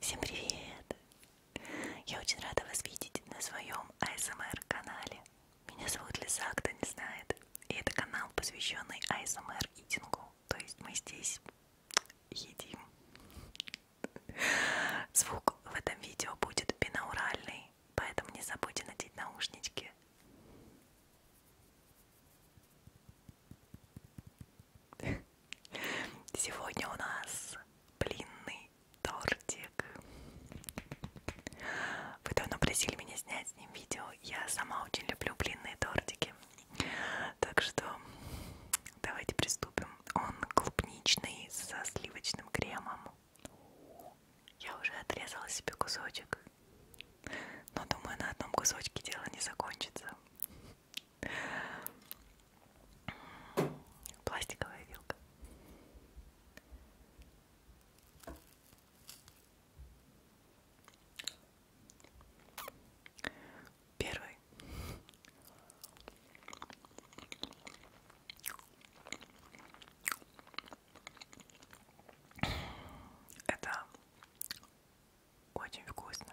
Всем привет! Я очень рада вас видеть на своем АСМР-канале. Меня зовут Лиза, кто не знает. И это канал, посвященный АСМР-итингу. То есть мы здесь едим. Звук в этом видео будет бинауральный, поэтому не забудьте надеть наушнички. Сегодня у нас блинный тортик. Вы давно просили меня снять с ним видео. Я сама очень люблю блинные тортики. Так что давайте приступим. Он клубничный со сливочным кремом. Я уже отрезала себе кусочек. Но думаю, на одном кусочке дело не закончится. Пластиковая вилка. Первый. Это очень вкусно.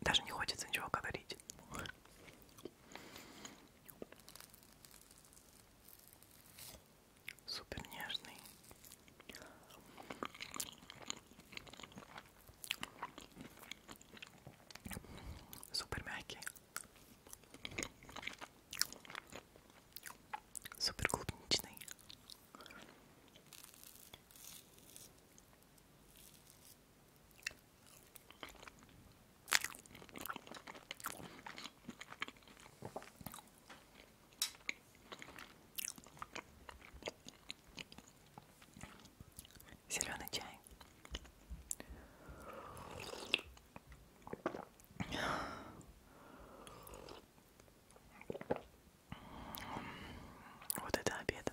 Даже не хочется ничего говорить супер нежный. Супер мягкий. Супер клубничный. Зеленый чай. Вот это обед.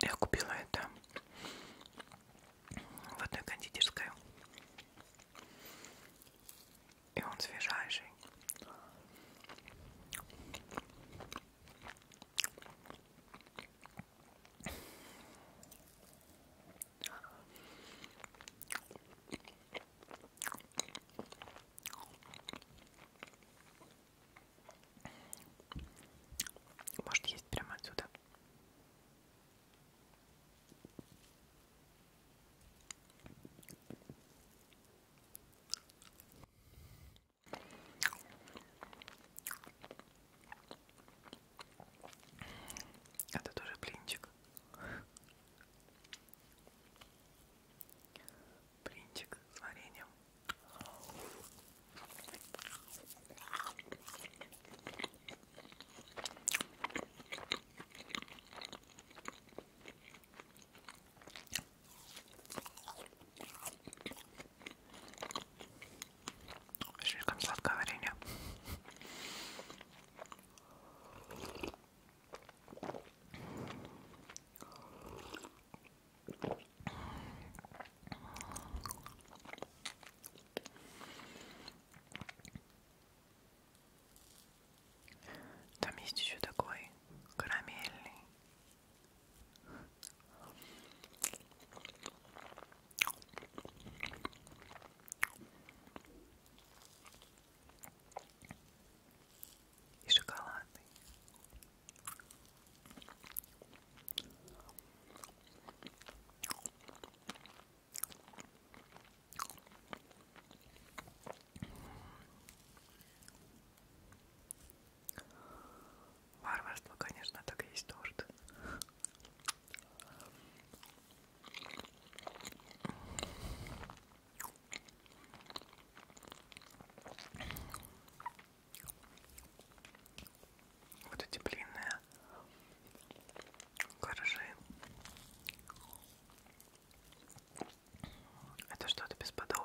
Я купила это в одной кондитерской. И он свежайший. Может есть прямо отсюда. Это тоже блинчик. Блинчик с вареньем. Слишком сладкое варенье. Там есть еще такой карамельный и шоколадный. Варварство, конечно, так и есть торт. Вот эти длинные гаражи. Это что-то бесподобное.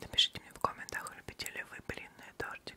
Напишите мне в комментах, любите ли вы блинные тортики.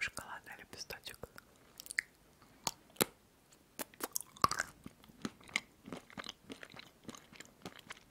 Шоколадный лепесточек.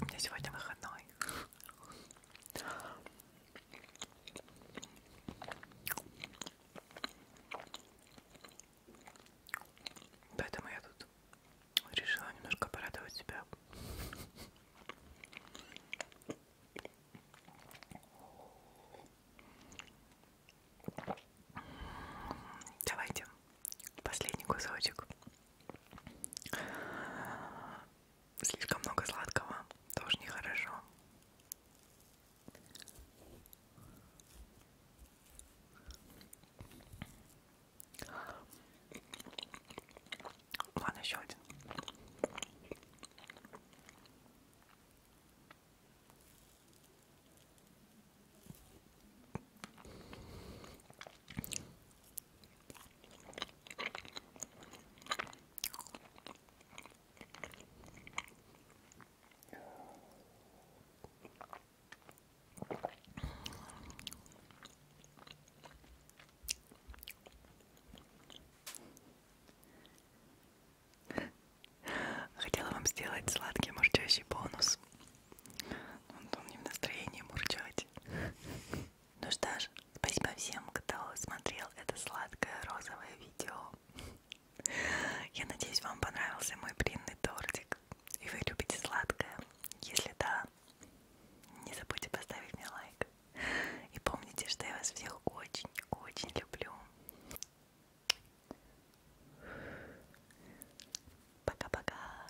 У меня сегодня выходной. Поэтому я тут решила немножко порадовать себя. Давайте последний кусочек. Слишком много сладкого тоже нехорошо. Ладно, еще один. Хотела вам сделать сладкий мурчащий бонус. Он, он не в настроении мурчать. Ну что ж, спасибо всем, кто смотрел это сладкое розовое видео. Я надеюсь, вам понравился мой блинный тортик. И вы любите сладкое. Если да, не забудьте поставить мне лайк. И помните, что я вас всех очень-очень люблю. Пока-пока.